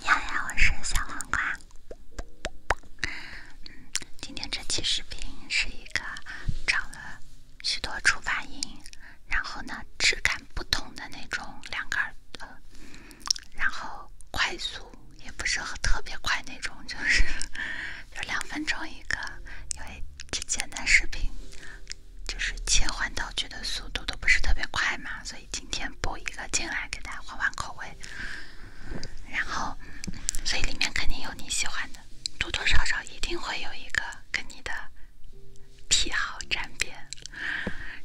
你好呀，我是小黄瓜。今天这期视频是一个长了许多初发音，然后呢质感不同的那种两个耳然后快速也不是特别快那种，就是 就两分钟一个，因为之前的视频。就是切换道具的速度都不是特别快嘛，所以今天播一个进来给大家换换口味。然后，所以里面肯定有你喜欢的，多多少少一定会有一个跟你的癖好沾边。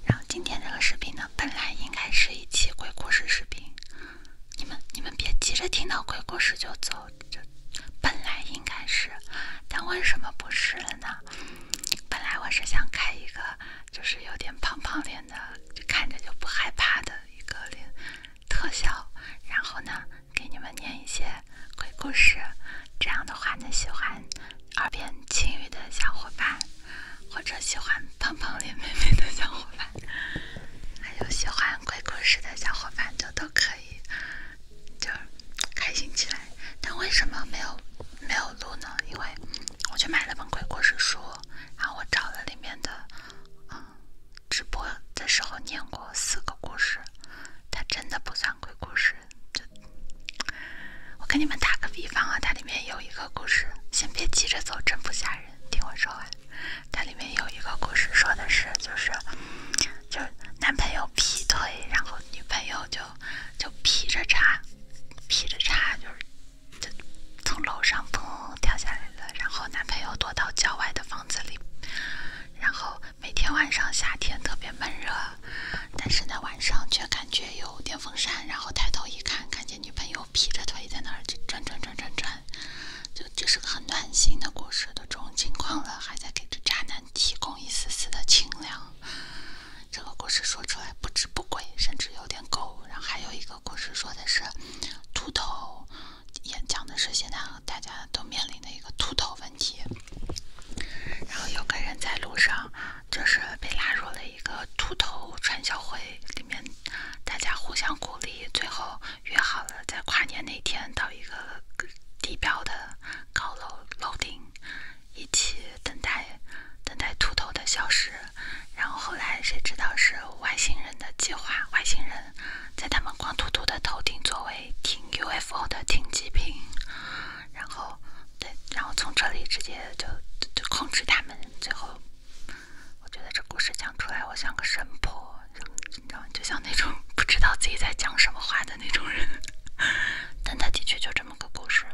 然后今天这个视频呢，本来应该是一期鬼故事视频，你们你们别急着听到鬼故事就走，这本来应该是，但为什么不是了呢？本来我是想开一个，就是有点胖胖脸的，就看着就不害怕的一个脸特效，然后呢，给你们念一些鬼故事，这样的话呢，喜欢耳边轻语的小伙伴，或者喜欢胖胖脸妹妹的小伙伴，还有喜欢鬼故事的小伙伴，就都可以，就。开心起来，但为什么没有没有录呢？因为我去买了本鬼故事书，然后我找了里面的，嗯，直播的时候念过四个故事。它真的不算鬼故事，就我跟你们打个比方啊，它里面有一个故事，先别急着走，真不吓人，听我说完。它里面有一个故事说的是，就是就男朋友劈腿，然后。女朋友就就劈着叉，劈着叉，就是就从楼上砰掉下来了。然后男朋友躲到郊外的房子里，然后每天晚上夏天特别闷热，但是呢晚上却感觉有电风扇。然后抬头一看，看见女朋友劈着腿在那儿转转转转转，就这是个很暖心的故事的这种情况了，还在给这渣男提供一丝丝的清凉。这个故事说出来不值不贵，甚至有点狗。然后还有一个故事说的是秃头，演讲的是现在大家都面临的一个秃头问题。然后有个人在路上，就是被拉入了一个秃头传销会里面，大家互相鼓励，最后约好了在跨年那天到一个地标的高楼楼顶。一起等待，等待秃头的消失，然后后来谁知道是外星人的计划，外星人在他们光秃秃的头顶作为停 UFO 的停机坪，然后对，然后从这里直接就就控制他们，最后我觉得这故事讲出来，我像个神婆，你知道，就像那种不知道自己在讲什么话的那种人，但它的确就这么个故事。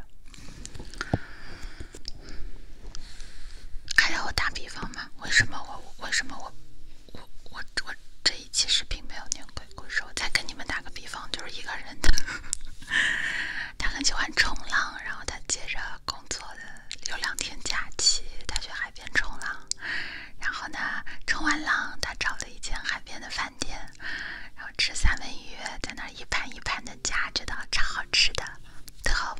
还要我打比方吗？为什么我为什么我我我我这一期视频没有念鬼故事？我再跟你们打个比方，就是一个人的，他很喜欢冲浪，然后他接着工作的有两天假期，他去海边冲浪，然后呢冲完浪，他找了一间海边的饭店。然后吃三文鱼，在那一盘一盘的夹，觉得超好吃的。最后，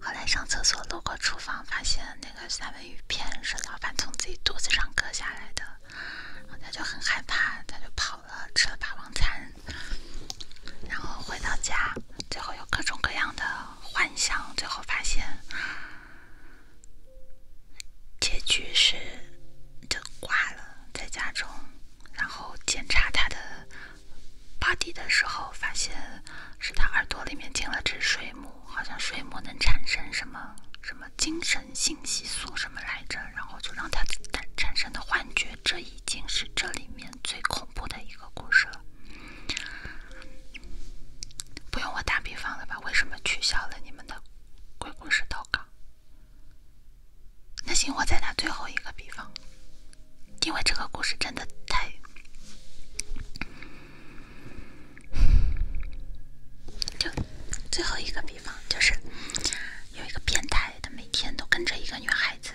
后来上厕所路过厨房，发现那个三文鱼片是老板从自己肚子上割下来的。然后他就很害怕，他就跑了，吃了霸王餐。然后回到家，最后有各种各样的幻想，最后发现，结局是。就挂了，在家中，然后检查他的 body 的时候，发现是他耳朵里面进了只水母，好像水母能产生什么什么精神信息素什么来着，然后就让他产产生的幻觉。这已经是这里面最恐怖的一个故事了。不用我打比方了吧？为什么取消了你们的鬼故事投稿？那行，我再拿最后一个比方，因为这个故事真的太……就最后一个比方，就是有一个变态，他每天都跟着一个女孩子，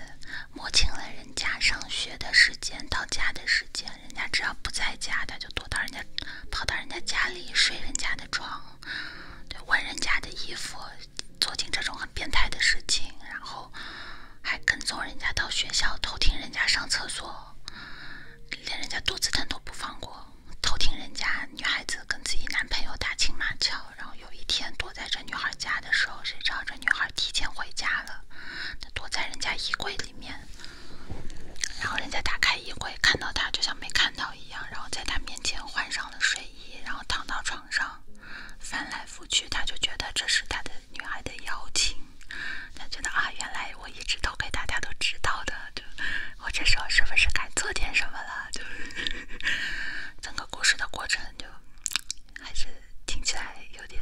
摸清了人家上学的时间、到家的时间，人家只要不在家，他就躲到人家，跑到人家家里睡人家的床，闻人家的衣服。做尽这种很变态的事情，然后还跟踪人家到学校偷听人家上厕所，连人家肚子疼都不放过，偷听人家女孩子跟自己男朋友打情骂俏，然后有一天躲在这女孩家的时候，谁知道这女孩提前回家了，躲在人家衣柜里面，然后人家打开衣柜看到他就像没看到一样，然后在他面前换上了睡衣。然后躺到床上，翻来覆去，他就觉得这是他的女孩的邀请。他觉得啊，原来我一直都给大家都知道的，就我这时候是不是该做点什么了？就 整个故事的过程就还是听起来有点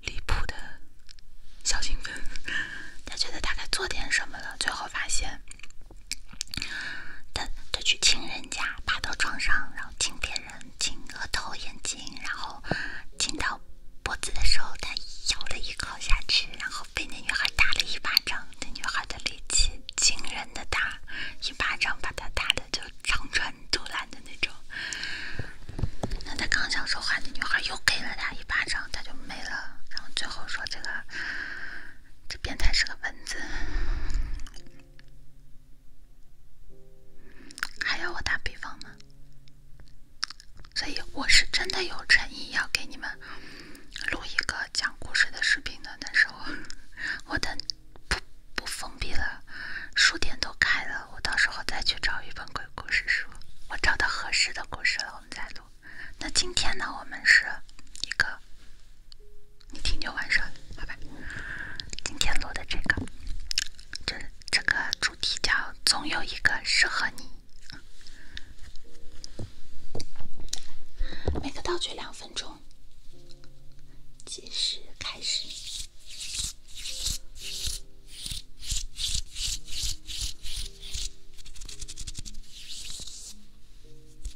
离谱的小兴奋。他觉得他该做点什么了，最后发现。他他去亲人家，爬到床上，然后亲别人，亲额头、眼睛，然后亲到脖子的时候，他咬了一口下去，然后被那女孩打了一巴掌。那女孩的力气惊人的大，一巴掌把他打的就肠穿肚烂的那种。那他刚想说话，那女孩又给了他一巴掌，他就没了。然后最后说这个。这变态是个蚊子，还要我打比方吗？所以我是真的有诚意要给你们录一个讲故事的视频的，但是我我等不不封闭了，书店都开了，我到时候再去找一本鬼故事书，我找到合适的故事了，我们再录。那今天呢，我们是一个。你听就完事，好吧？今天录的这个，这这个主题叫“总有一个适合你”。每个道具两分钟，计时开始。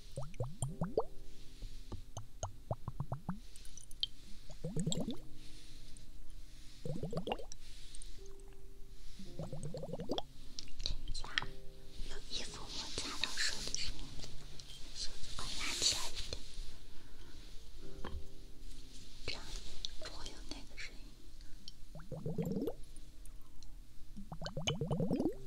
人家有衣服摩擦到手机，手机快拉起一点，这样不会有那个声音。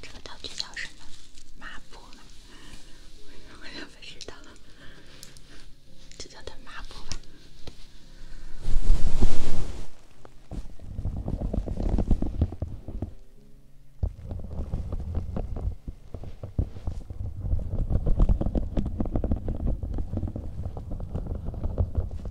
这个道具叫什么？抹布。我也不知道，就叫它抹布吧。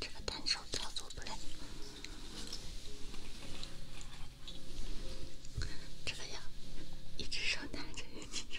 这个单手操作不来，这个呀，一只手拿着，一只手。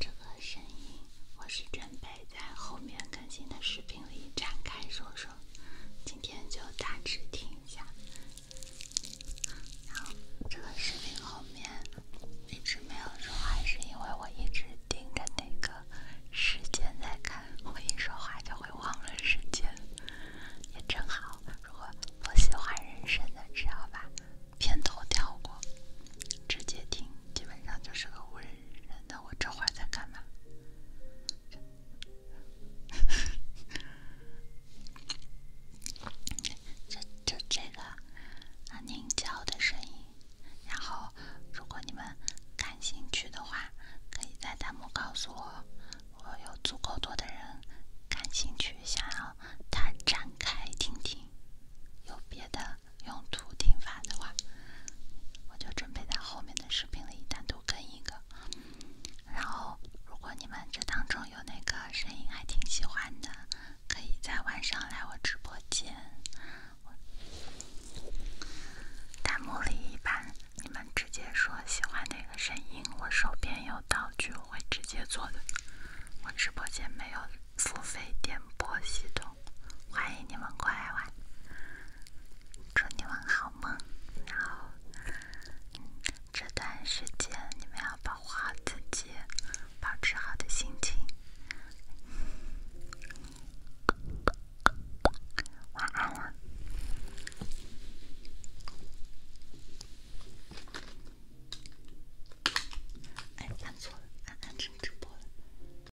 这个声音，我是准备。可以在后面更新的视频里展开说说，今天就大致听一下。然后这个视频后面一直没有说话，是因为我一直盯着那个时间在看，我一说话就会忘了时间。也正好，如果不喜欢人生的，只要把片头跳过，直接听，基本上就是个无人。那我这会儿在干嘛？就 就这个啊，凝胶的声音。然后，如果你们感兴趣的话，可以在弹幕告诉我。我有足够多的人感兴趣，想要它展开听听。有别的？用土听法的话，我就准备在后面的视频里单独更一个。然后，如果你们这当中有哪个声音还挺喜欢的，可以在晚上来我直播间，弹幕里一般你们直接说喜欢哪个声音，我手边有道具，我会直接做的。我直播间没有付费点播系统。欢迎你们过来玩，祝你们好梦。然后这段时间你们要保护好自己，保持好的心情。晚安了。哎，看错了，安安成直播了。